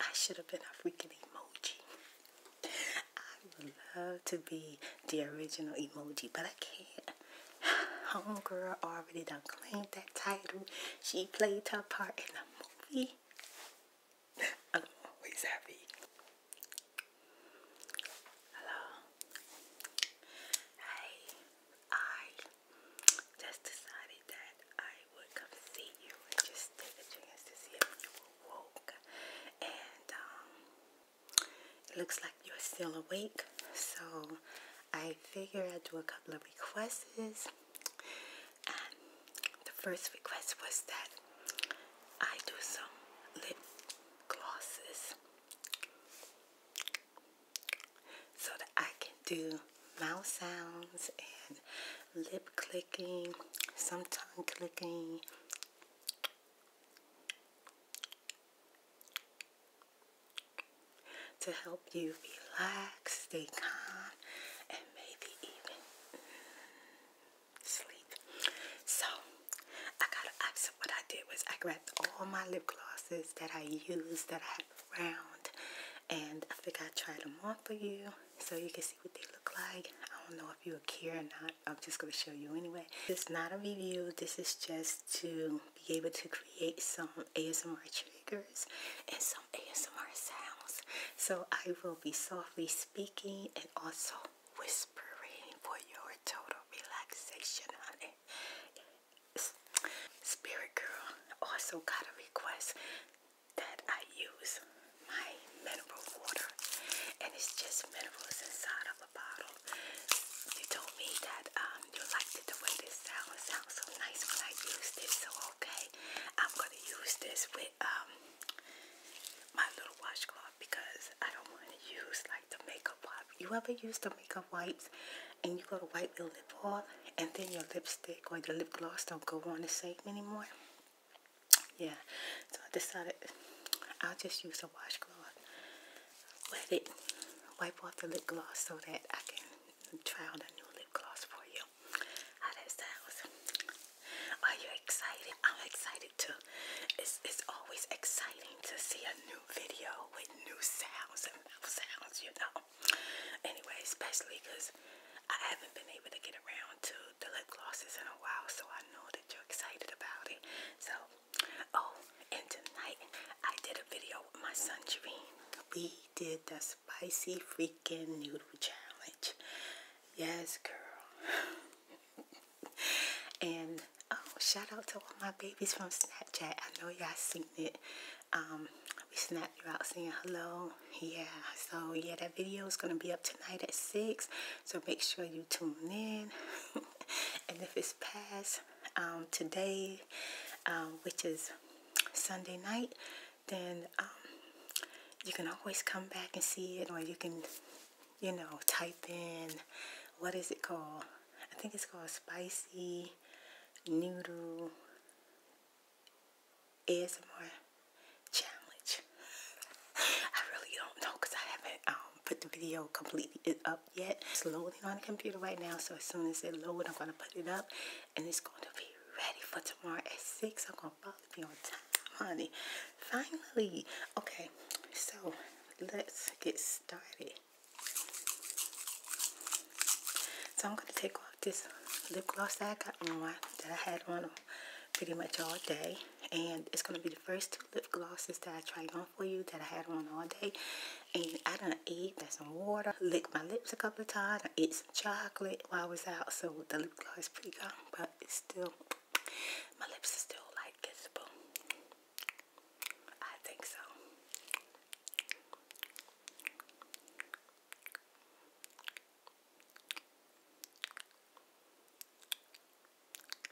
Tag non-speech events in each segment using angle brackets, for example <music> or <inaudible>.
I should have been a freaking emoji. I would love to be the original emoji, but I can't. <sighs> Homegirl already done claimed that title. She played her part in the movie. <laughs> I'm always happy. Hello. Hey, I just decided that I would come see you and just take a chance to see if you were woke. And um, it looks like you're still awake, so I figure I'd do a couple of requests. And the first request was that I do some lip glosses so that I can do mouth sounds and lip clicking, some tongue clicking. To help you relax, stay calm, and maybe even mm, sleep. So, I got. So what I did was I grabbed all my lip glosses that I used that I round and I think I tried them on for you so you can see what they look like. I don't know if you care or not. I'm just going to show you anyway. This is not a review. This is just to be able to create some ASMR triggers and some ASMR sounds. So I will be softly speaking and also whispering for your total relaxation, honey. Spirit Girl also got a request that I use my mineral water, and it's just minerals inside of a bottle. You told me that um, you liked it the way this sounds. Sounds so nice when I use this. So okay, I'm gonna use this with um my little washcloth because I don't want to use like the makeup wipe. You ever use the makeup wipes and you go to wipe your lip off and then your lipstick or your lip gloss don't go on the same anymore. Yeah, so I decided I'll just use a washcloth, wet it, wipe off the lip gloss so that I can try out a new lip gloss for you. How that sounds? Are you excited? I'm excited too. It's, it's always exciting to see a new video with new sounds and mouth sounds, you know anyway, especially because I haven't been able to get around to the lip glosses in a while, so I know that you're excited about it. So, oh, and tonight I did a video with my son Dream. We did the spicy freaking noodle challenge. Yes, girl. <laughs> and oh, shout out to all my babies from Snapchat. I know y'all seen evening. Um, we snap you out saying hello. Yeah, so yeah, that video is going to be up tonight at 6. So make sure you tune in. <laughs> and if it's past um, today, um, which is Sunday night, then um, you can always come back and see it or you can, you know, type in, what is it called? I think it's called Spicy Noodle is my challenge. I really don't know because I haven't um, put the video completely up yet. It's loading on the computer right now, so as soon as it loads, I'm going to put it up and it's going to be ready for tomorrow at 6. I'm going to probably be on time, honey. Finally. Okay, so let's get started. So I'm going to take this lip gloss that I got on, that I had on pretty much all day. And it's going to be the first two lip glosses that I tried on for you that I had on all day. And I didn't eat, got some water, licked my lips a couple of times, I ate some chocolate while I was out. So the lip gloss is pretty gone, but it's still, my lips are still like kissable. I think so.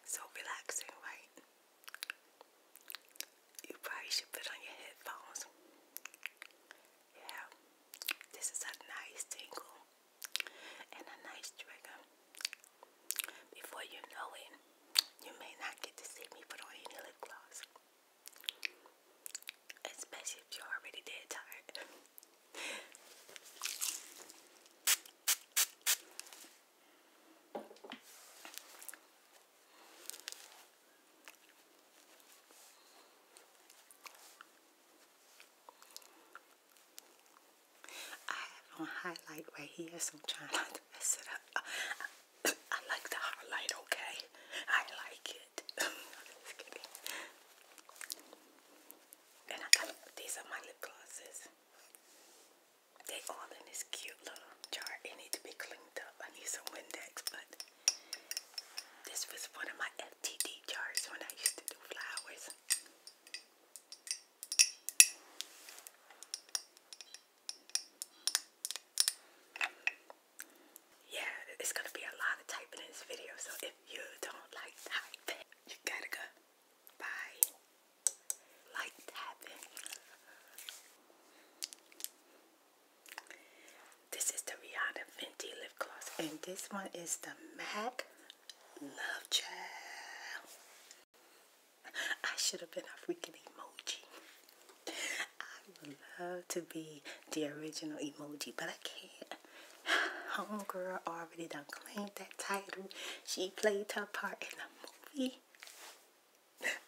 So relaxing, right? You probably should put on your headphones. Yeah, this is a nice tingle and a nice trigger. Before you know it, you may not get to see me put on any lip gloss. Especially if you're already dead tired. I have on highlight right here, so I'm trying not to mess it up. <coughs> I like the highlight, okay? I like it. <laughs> i And these are my lip glosses. They all in this cute little jar. It need to be cleaned up. I need some Windex, but this was one of my FTD jars when I used to do flowers yeah, it's gonna be a lot of typing in this video. So if you don't like typing, you gotta go. Bye. Like tapping. This is the Rihanna Venti lip gloss, and this one is the MAC Love Child. I should have been a freaking emoji. I would love to be the original emoji, but I can't. <sighs> Homegirl already done claimed that title. She played her part in the movie.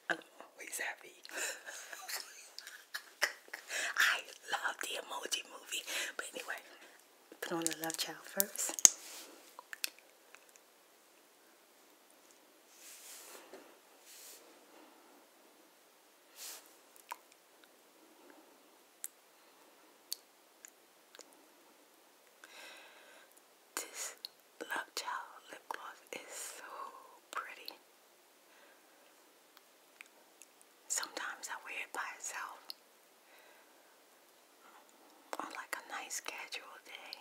I'm always happy. <laughs> I love the emoji movie. But anyway, put on the love child first. This Love Child lip gloss is so pretty. Sometimes I wear it by itself on like a nice casual day.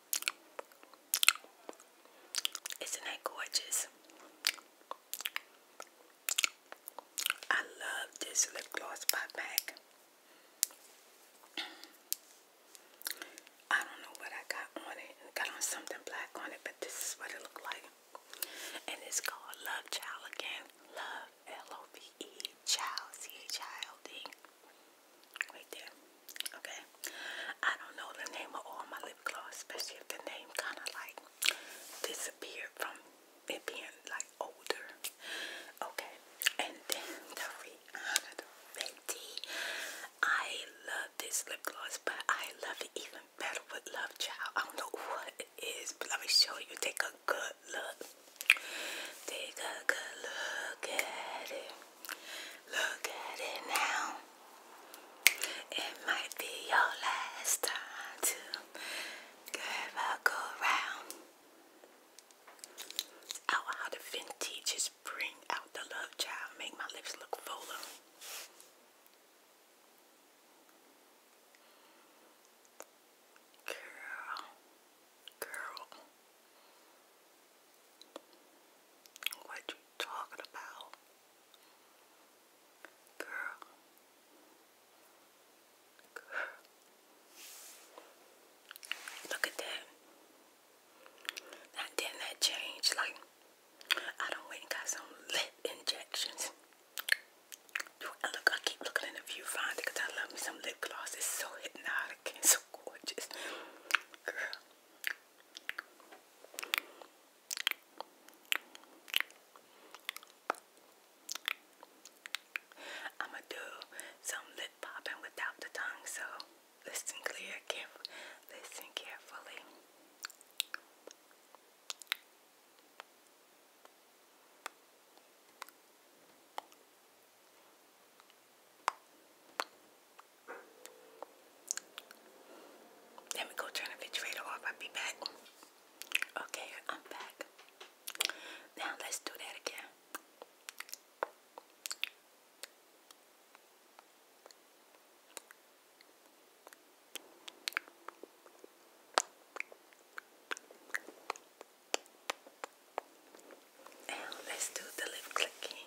Isn't that gorgeous? I love this lip gloss by MAC. I don't know what I got on it. I got on something black on it, but this is what it looked like. And it's called Love Child again. Love L O V E Child C H I L D. Right there. Okay. I don't know the name of all my lip gloss, especially if the name kind of like disappeared from it being like older. Okay. And then the Rihanna the Fenty. I love this lip gloss, but I love it even better with Love Child. I don't know what it is, but let me show you. Take a good look. Take a good look at it. Look at it now. It might be your last time to ever go round. Out how the vintages bring out the love child, make my lips look fuller. Girl, girl, what you you talking about? Girl. Girl. Look at that. Now didn't that change? Like I don't went and got some lip injections. look, I keep looking in the viewfinder I love me some lip gloss. so hypnotic so gorgeous. Girl. I'ma do some lip popping without the tongue, so listen clear, careful, listen carefully. Let me go turn the refrigerator off. I'll be back. Okay, I'm back. Now let's do that again. Now let's do the lip clicking.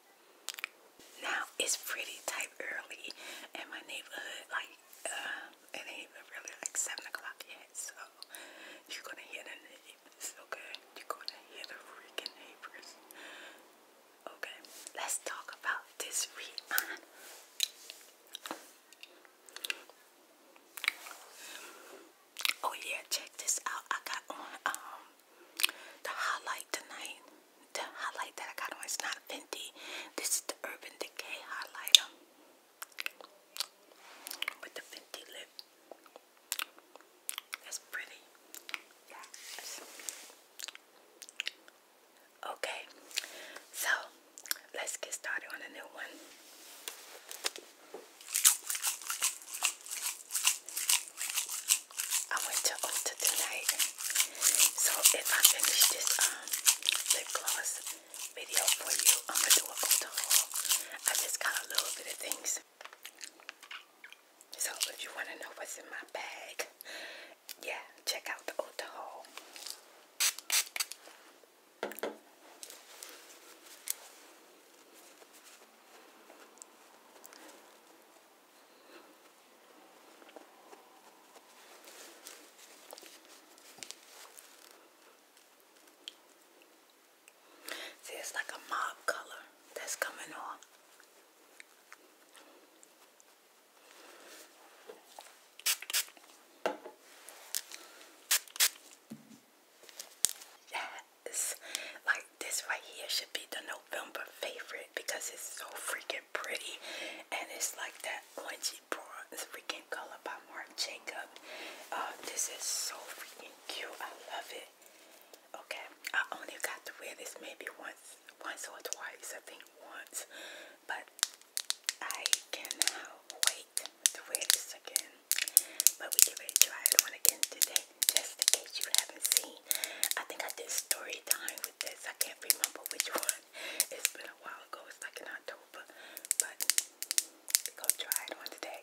Now it's pretty tight early in my neighborhood, like uh, it ain't even really like seven o'clock yet, so you're gonna hear the neighbors, okay? You're gonna hear the freaking neighbors. Okay, let's talk about this Rihanna. Oh yeah, check this out. I got um the highlight tonight, the highlight that I got on is not Fenty. This is the Urban Decay highlighter with the Fenty lip. That's pretty. Okay, so let's get started on a new one. I went to Ulta oh, tonight. So if I finish this um, lip gloss video for you, I'm gonna do a haul. I just got a little bit of things. So if you wanna know what's in my bag, yeah, check out the Ulta haul. See, it's like a mob color that's coming on. Yes, like this right here should be the no November favorite because it's so freaking pretty and it's like that orangey bronze freaking color by Marc Jacob. Uh, this is so freaking cute. I love it. Okay, I only got to wear this maybe once, once or twice. I think once, but I can cannot wait to wear this again. But we get ready to try it on again today just in case you haven't seen. I think I did story time with this. I can't remember which one. It's been a while ago. It's like in October. But we're try it on today.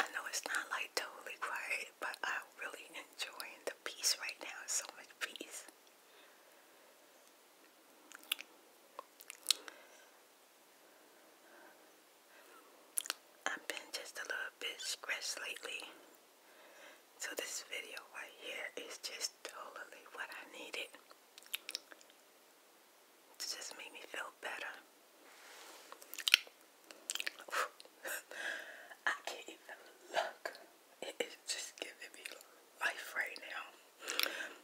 I know it's not like totally quiet, but I'm really enjoying the peace right now. So much peace. I've been just a little bit stressed lately. So this video right here is just totally what I needed. It just made me feel better. I can't even look. It is just giving me life right now. Girl.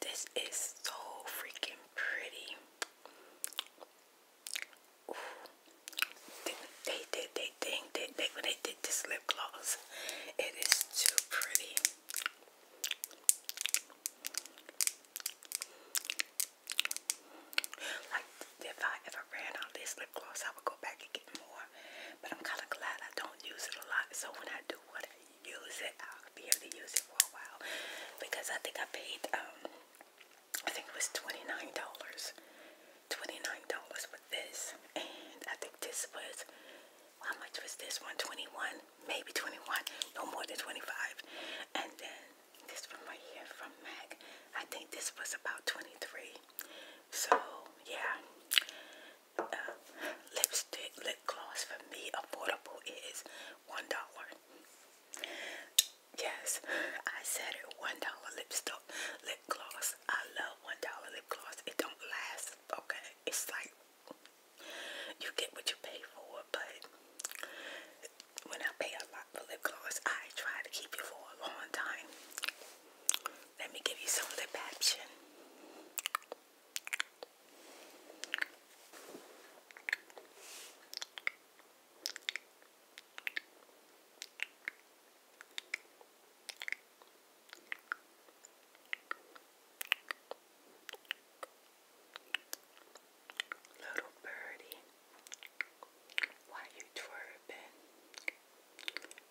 This is so freaking pretty. Ooh. They, they did they thing they, when they did this lip gloss. It is too pretty. Like if I ever ran out this lip gloss, I would go back and get more. But I'm kind of glad I don't use it a lot. So when I do what use it. I'll be able to use it for a while because I think I paid um I think it was twenty nine dollars, twenty nine dollars for this, and I think this was how much was this one? Twenty one, maybe twenty one, no more than twenty five, and then this one right here from Mac. I think this was about twenty three. So yeah, uh, lipstick lip gloss for me affordable is one dollar. Yes, I said it. One dollar lipstick lip gloss. I love one dollar lip gloss. It don't last. Okay, it's like you get what you pay for. But when I pay a lot for lip gloss, I try to keep it for a long time. Let me give you some lip action. Little birdie, why you twerping?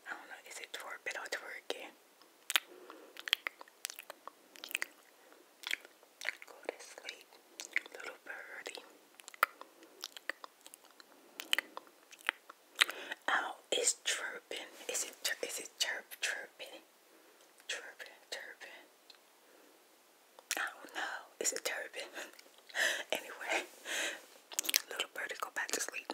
I don't know, is it twerping or twerking? Go to sleep, little birdie. Ow, it's chirping. Is it it chirp chirping? Chirping, chirping. I don't know. Is it chirping? <laughs> anyway, little birdie go back to sleep.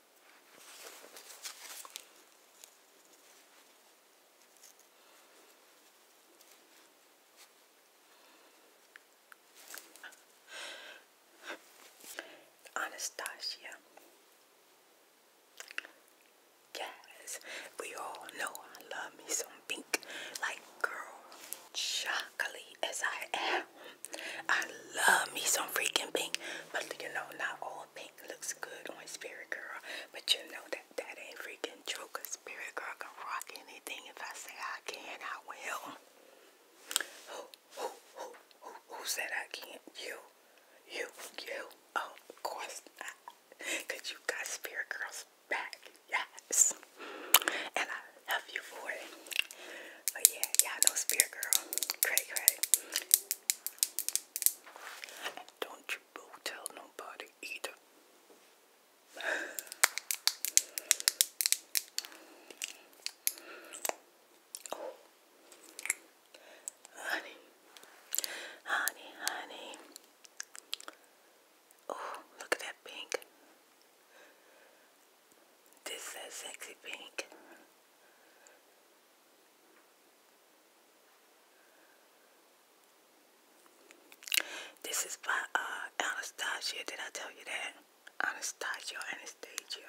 Anastasia. Yes, we all know I love me some pink. Like, girl, chocolate as I am, I love me some freaking pink. But you know, not all pink pink looks good on Spirit Girl, but you know that that ain't freaking true Spirit Girl can rock anything. If I say I can, I will. Who, who, who, who, said I can't? You, you, you. Oh, of course not. Because you got Spirit Girl's back. Yes. And I love you for it. But yeah, y'all Spirit Girl. Cray, cray. And don't you go tell nobody either. Honey, honey, honey. Oh, look at that pink. This is sexy pink. This is by uh, Anastasia. Did I tell you that? Anastasia, Anastasia.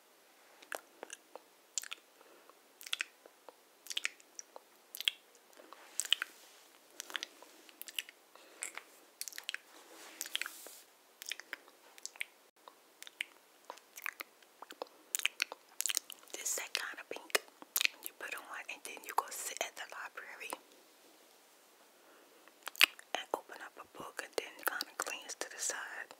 This that kind of pink you put on and then you go sit at the library and open up a book and then kind of glance to the side.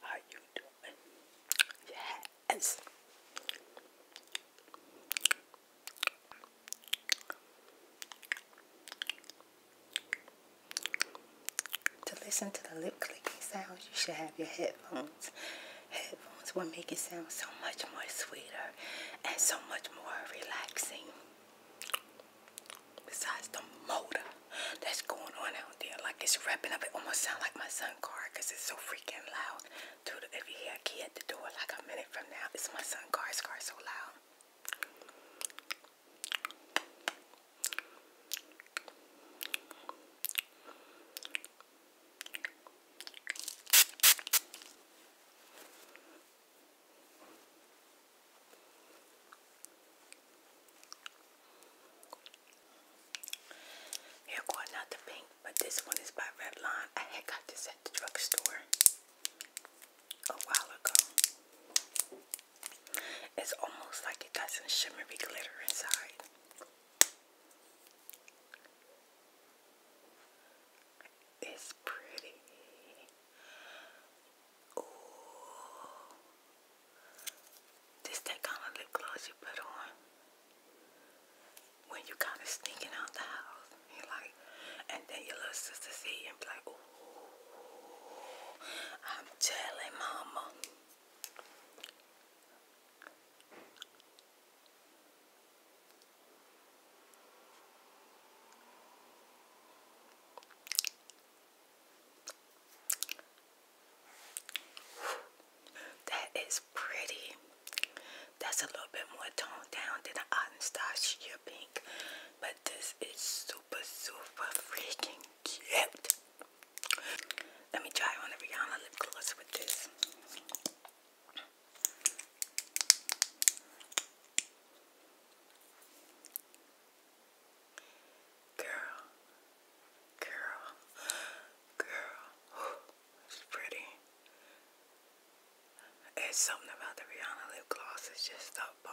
How you doing? Yes. To listen to the lip clicking sounds, you should have your headphones headphones will make it sound so much more sweeter and so much more relaxing. Besides the motor that's going on out there, like it's wrapping up, it almost sounds like my son's car because it's so freaking loud. Dude, if you hear a key at the door like a minute from now, it's my son's car, his car's so loud. Here going out the pink, but this one is by Revlon. I had got this at the drugstore a while ago. It's almost like it got some shimmery glitter inside. It's pretty. Ooh. This that kind of lip gloss you put on when you kind of sneaking out the house. you like, and then your little sister see and be like, ooh, I'm telling mama. That is pretty. That's a little bit more toned down than the Anastasia pink, but this is super, super freaking cute. Let me try on the Rihanna lip gloss with this. Girl, girl, girl, it's pretty. It's something about the Rihanna lip gloss, just a bomb.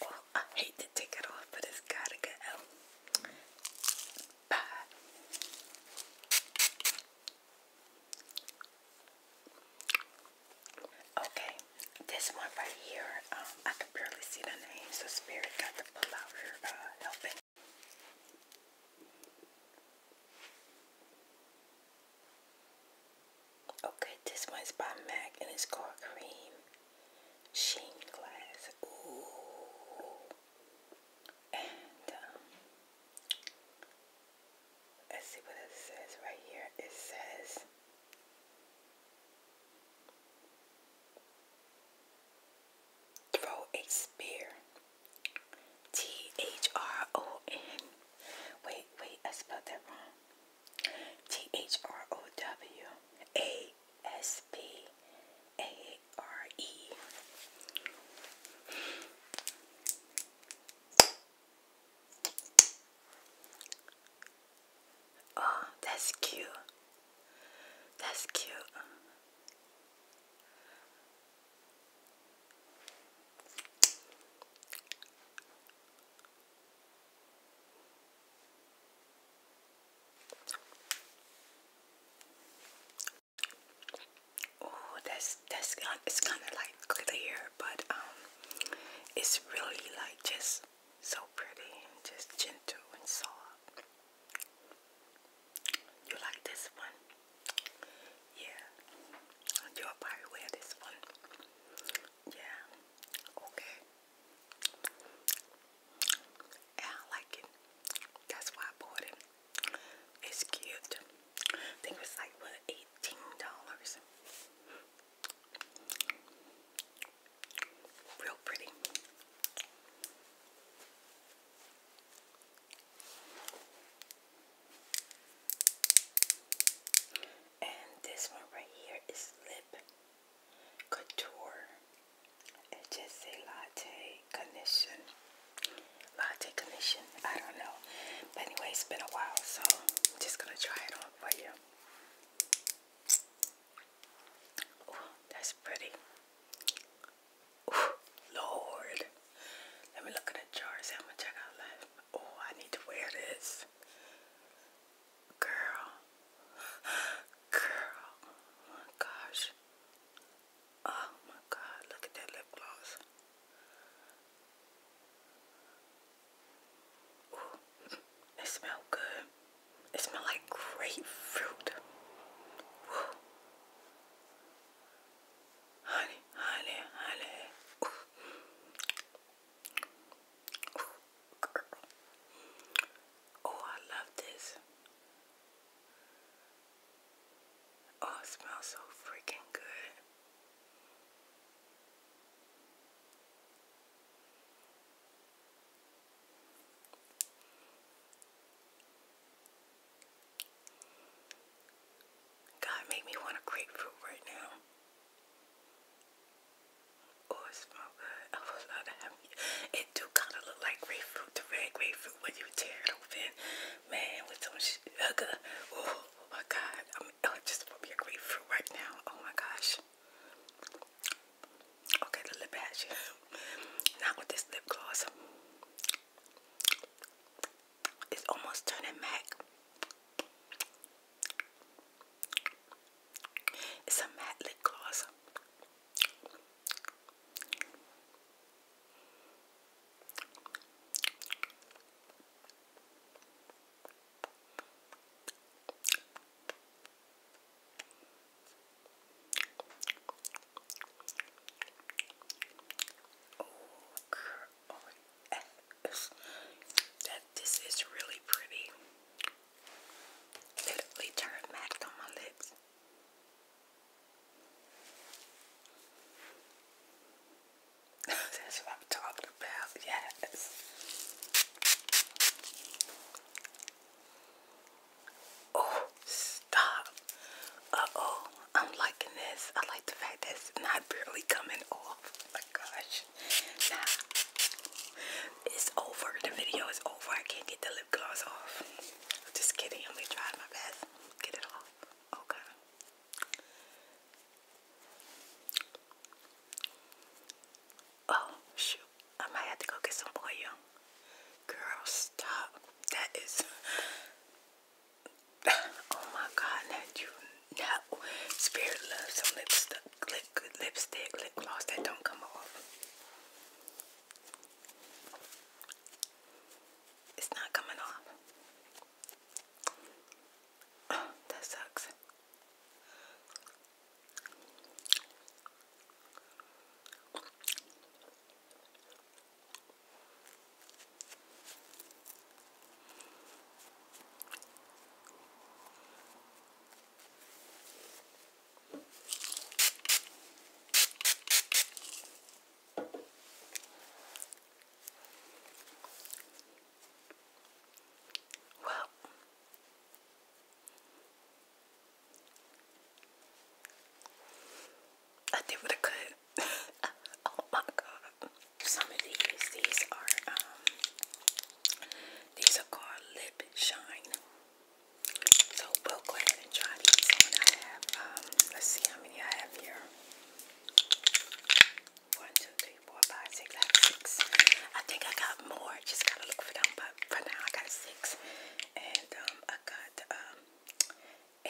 Well, I hate to take it off, but it's gotta go. Okay, this one right here, um, I can barely see the name, so Spirit got to pull out her uh, helping. Okay, this one's by MAC and it's called Cream Sheen Glass. Ooh. Um, let's see what it says right here. It says, throw a spear. T H R O N. Wait, wait, I spelled that wrong. T H R O W A S P A R E. Oh, that's cute. That's cute. Oh, that's that's it's kind of like clear, but um, it's really like just so pretty and just gentle and soft. You like this one? Yeah. You'll probably wear this one. Yeah. Okay. I like it. That's why I bought it. It's cute. I think it like what eighteen dollars. Real pretty. And this one right here is Lip Couture it just a latte condition. Latte condition. I don't know. But anyway, it's been a while, so I'm just gonna try it on for you. Oh, that's pretty. Lord. Let me look at the jars see how much I got left. Oh, I need to wear this. Girl. <gasps> Girl. Oh my gosh. Oh my god, look at that lip gloss. Ooh, it smell good. It smell like grapefruit. Honey, honey, honey. Oh, I love this. Oh, it smells so freaking good. God made me want a grapefruit right now. Oh, smells good. <laughs> It do kind of look like grapefruit, the red grapefruit when you tear it open. Man, with some sugar. Oh my God. I mean, oh, just want me a grapefruit right now. Oh my gosh. Okay, the lip patch. Not with this lip gloss. It's almost turning matte. It's a matte lip gloss. Oh, that this is really pretty. Literally turned back on my lips. <laughs> That's what I'm talking about, yes. Oh, stop. Uh-oh, I'm liking this. I like the fact it's not barely coming off. Oh my gosh. Nah. It's over. The video is over. I can't get the lip gloss off. I'm just kidding. I'm going to try my best. Get it off. Okay. Oh, shoot. I might have to go get some oil. Girl, stop. That is... <laughs> oh my god, that you know. Spirit loves some lipstick, lipstick, lip gloss that don't come off. It's not coming off. <sighs> that sucks. Well, I did what I could. <laughs> oh my god. Some of these, these are um these are called lip shine. So we'll go ahead and try um, let's see how many I have here. One, two, three, four, five, six. I think I got more. Just gotta look for them. But for now, I got six. And um, I got um,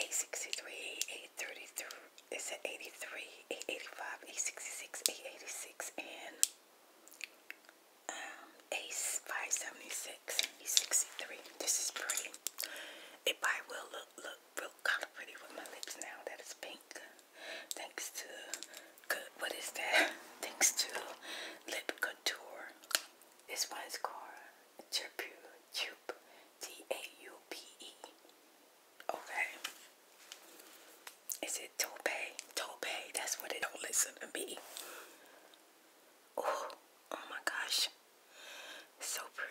863, 833. It's at 83, 885, 866, 886, and um, Ace 576 63. This is pretty. It probably will look, look real kind of pretty with my lips now that it's pink. Thanks to good, what is that? <laughs> Thanks to Lip contour. This one's called Chirpure Chup T-A-U-P-E. Okay. Is it Tope? Tope, that's what they don't listen to me. Oh, oh my gosh. So pretty.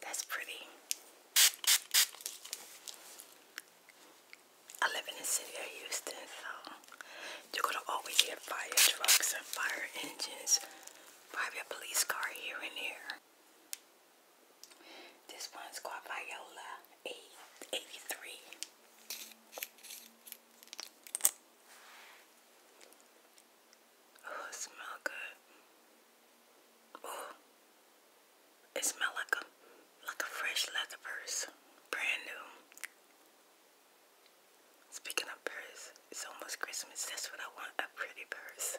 That's pretty. I live in the city of Houston, so you're gonna always get fire trucks and fire engines, probably a police car here and there. This one's called Viola 883. Oh, it good. Oh, it smells like a like a fresh leather purse, brand new. Speaking of purse, it's almost Christmas. That's what I want—a pretty purse.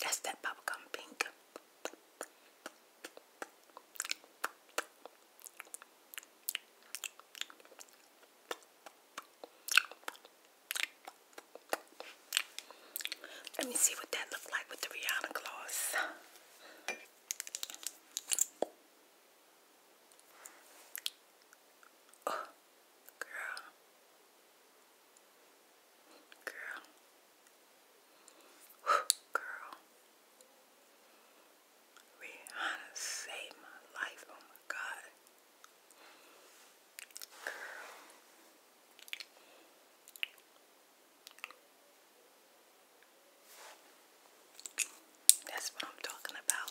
That's that bubblegum pink. Let me see what that looked like with the Rihanna gloss. Oh girl, girl, girl. Rihanna saved my life. Oh my God, girl. That's what I'm talking about.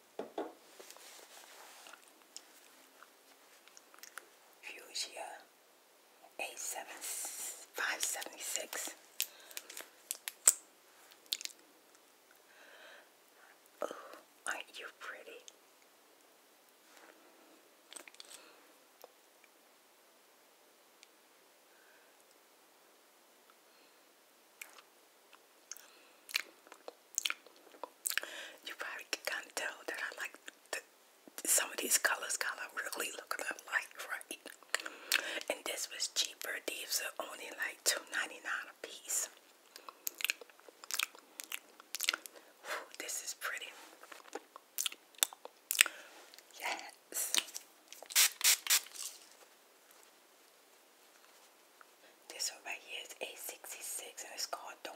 Fuchsia A7576. Oh, aren't you pretty? You probably can kind tell that I like some of these colors kind of really look a lot like, right? And this was cheaper. These are only like $2.99 a piece. this is pretty. Yes. This one right here is A66 and it's called Dorn.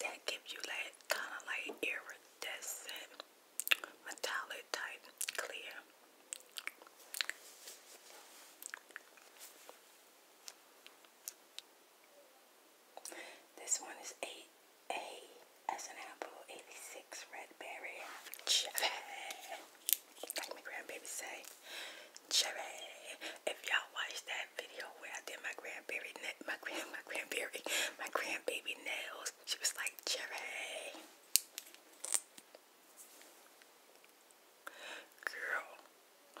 That gives you like kind of like iridescent, metallic type clear. This one is 8A as an apple, 86 red berry like my grandbaby say, Cherry. If y'all watched that video where I did my grandbaby, my grand, my grandbaby, my grandbaby nails, she was like, Cherry. Girl.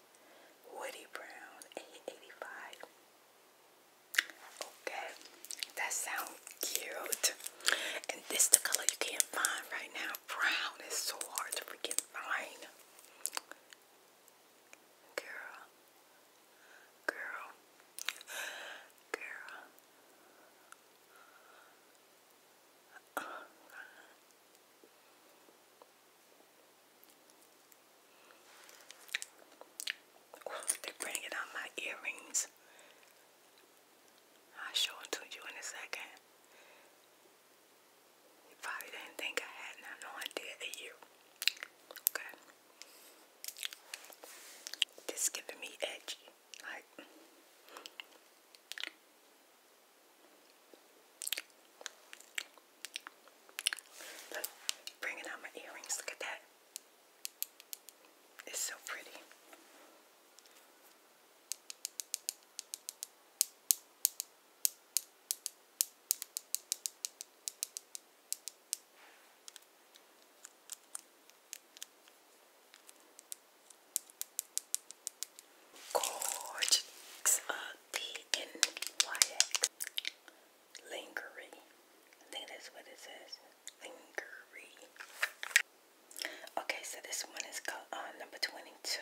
Woody Brown, 885. Okay, that sounds cute. And this the color you can't find right now. Brown is so hard to freaking find. Girl. Girl. Girl. Oh, they're bringing out my earrings. I'll show them to you in a second. You probably didn't think I had no idea that you. Okay. This is giving me edgy. Like, Look, bringing out my earrings. Look at that. It's so pretty. Gorgeous. D-N-Y-X. Lingerie. I think that's what it says. Lingerie. Okay, so this one is called uh, number 22.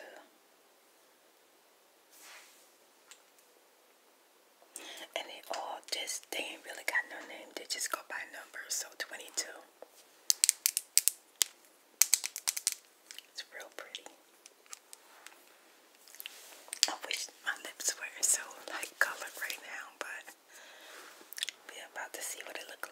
And they all just, they ain't really got no name. They just go by numbers. So 22. It's real pretty. I wish my lips were so light colored right now, but we're about to see what it look like.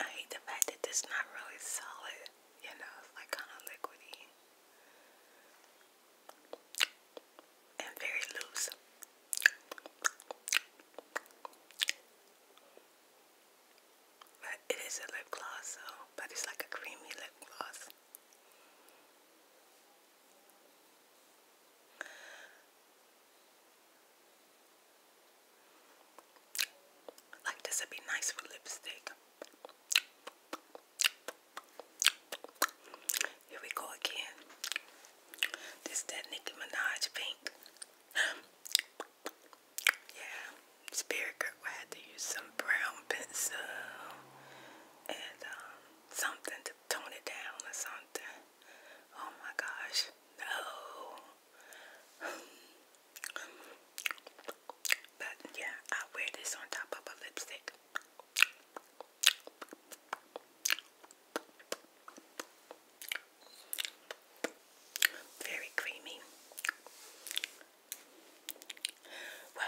I hate the fact that it's not really solid, you know, it's like kind of liquidy and very loose. But it is a lip gloss, so but it's like a creamy lip gloss. Like this would be nice for lipstick. Here we go again. This that Nicki Minaj pink. <gasps> yeah, Spirit Girl. I had to use some brown pencil and um, something to tone it down or something. Oh my gosh, no. <sighs> But yeah, I wear this on top of a lipstick. Very creamy. Well,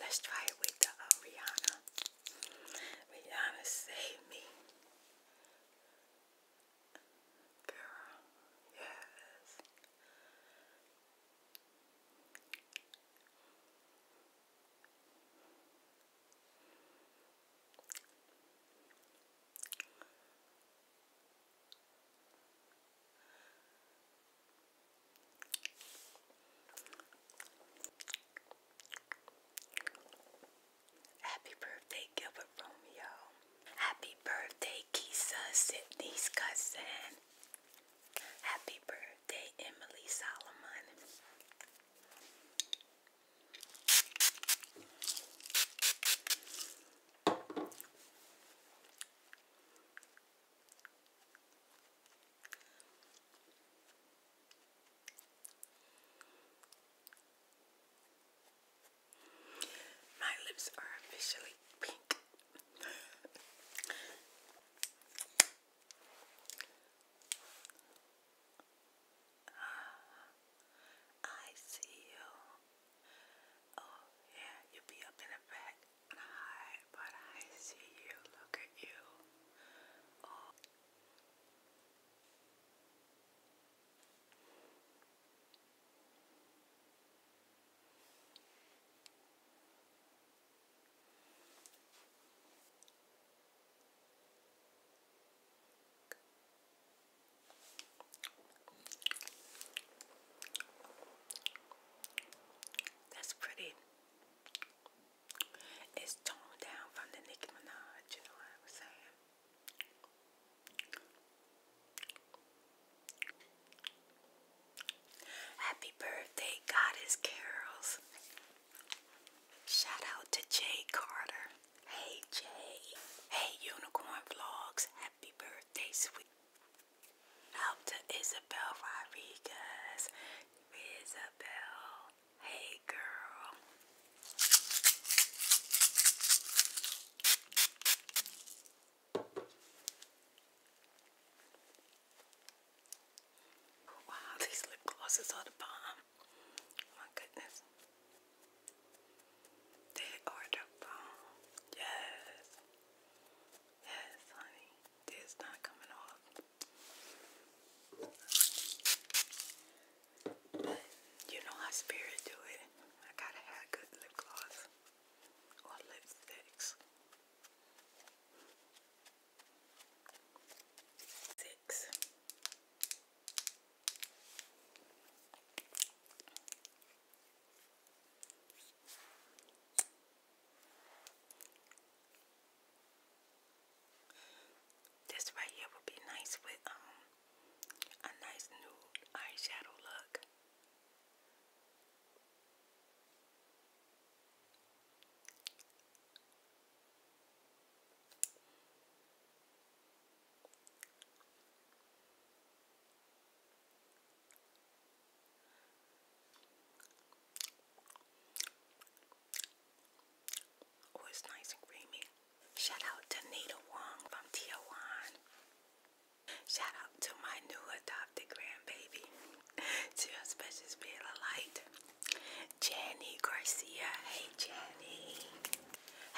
let's try it with the uh, Rihanna. save me. Girl, yes. Happy birthday, Gilbert Romeo. Happy birthday, Kisa Sidney's cousin. Happy birthday, Emily Solomon. My lips are officially pink. Ah, I see you. Oh, yeah, you be up in the back and hide, but I see you. Look at you. Oh. That's pretty. It's toned down from the Nicki Minaj, you know what I'm saying? Happy birthday, Goddess Carols. Shout out to Jay Carter. Hey, Jay. Hey, Unicorn Vlogs. Happy birthday, sweet. Out to Isabel Rodriguez. Isabel. Hey, girl. Wow, <laughs> these lip glosses are the bomb. Oh my goodness. They are the bomb. Yes. Yes, honey. This not coming off. But you know how spirit do it. I gotta have good lip gloss or lipsticks six. This right here would be nice with um, a nice nude eyeshadow look. Oh, it's nice and creamy. Shout out to Nita Wong from Tier One. Shout out to my new adopted the grandbaby <laughs> to your special spirit of light. Jenny Garcia. Hey Jenny.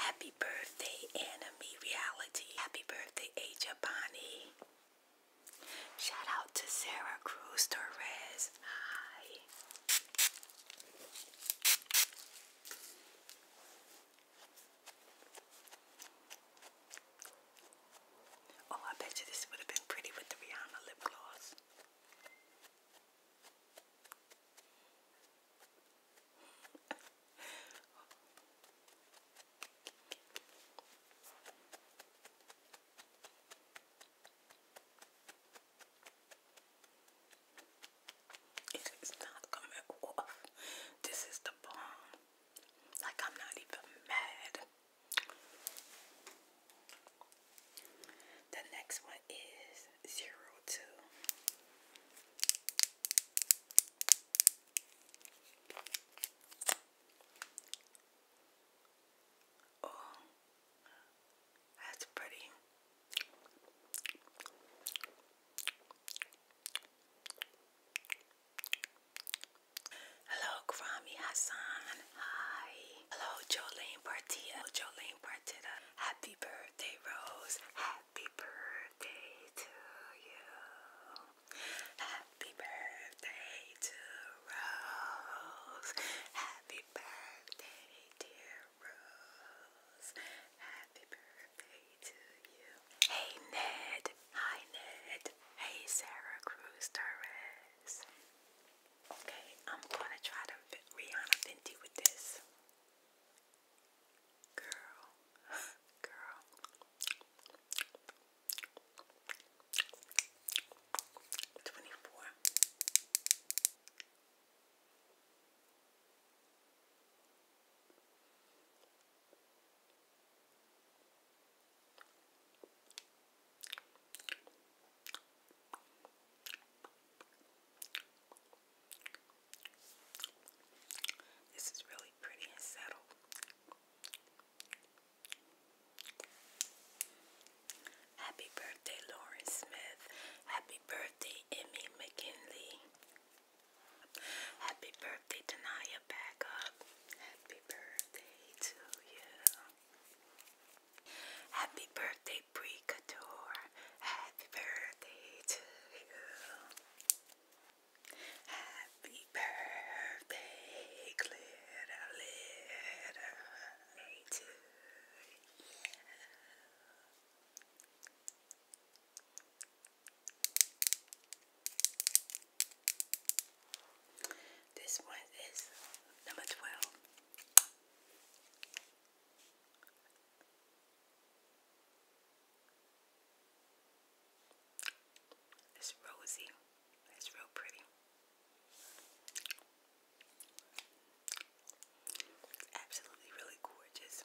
Happy birthday, Anime Reality. Happy birthday, Aja Bonnie. Shout out to Sarah Cruz Torres. Hi. Oh, I bet you this would have been pretty with the Rihanna lip gloss. it is not coming off. This is the bomb. Like, I'm not even mad. The next one is zero two. Oh, that's pretty. Hello, Grami Hassan. Hi. Hello, Jolene Partida. Jolene Partida. Happy birthday, Rose. Happy birthday to you. Happy birthday to Rose. Happy birthday, dear Rose. Happy birthday to you. Hey, Ned. Hi, Ned. Hey, Sarah Cruz Torres is. Okay, I'm gonna try to Rihanna Fenty with this. Girl, <laughs> girl. Twenty-four. This is really pretty and settled. Happy birthday, Lauren Smith. Happy birthday, Emmy McKinley. Happy birthday, Tanaya Backup. Happy birthday to you. Happy birthday, Brie Happy birthday to you. Happy birthday, glitter, glitter, to you. This one is number 12. It's rosy. It's real pretty. Absolutely really gorgeous.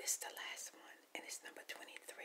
This is the last one, and it's number 23.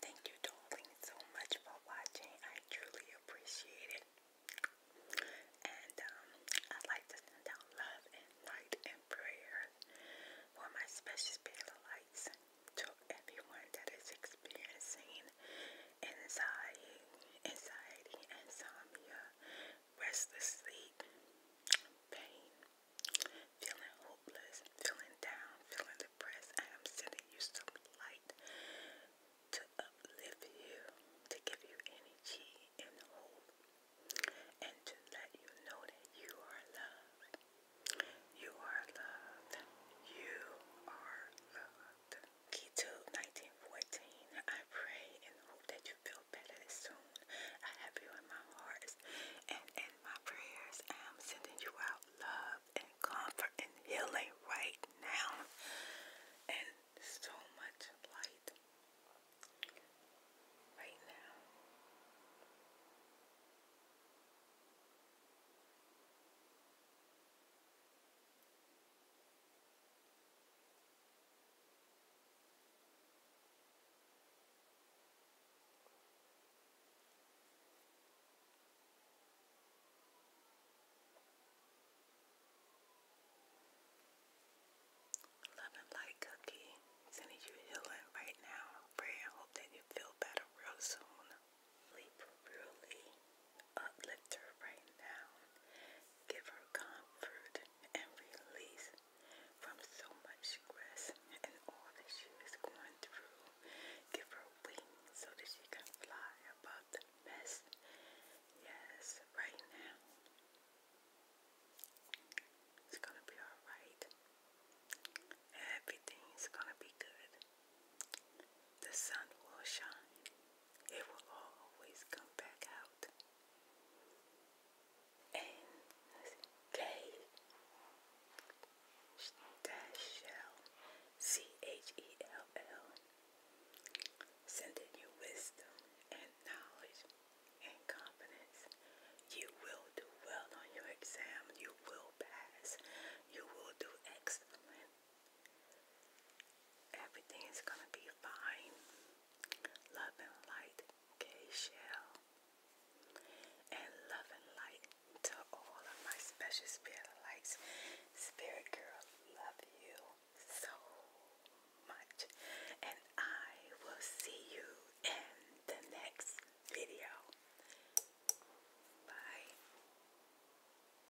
Thank you, darling, so much for watching. I truly appreciate it. And um, I'd like to send out love and light and prayers for my special spirit of lights to everyone that is experiencing anxiety, anxiety, insomnia, restless sleep, pain, feeling hopeless, feeling down, feeling depressed. I am sending you some light to uplift you, to give you energy and hope, and to let you know that you are loved. You are loved. You are loved. Keto 1914. I pray and hope that you feel better soon. I have you in my heart and in my prayers. I am sending you out love and comfort and healing right now. And so much light right now. Love and light cookie, sending you healing right now. Pray and hope that you feel better real soon really uplift her right now. Give her comfort and release from so much stress and all that she is going through. Give her wings so that she can fly above the mess. Yes, right now. It's gonna be alright. Everything's gonna be good. The sun will shine it will always come back out. And they dash shell C H E L L sending you wisdom and knowledge and confidence. You will do well on your exam. You will pass. You will do excellent. Everything is gonna be fine. Love and light, Gayle, and love and light to all of my special spirit lights. Spirit girl, love you so much, and I will see you in the next video. Bye.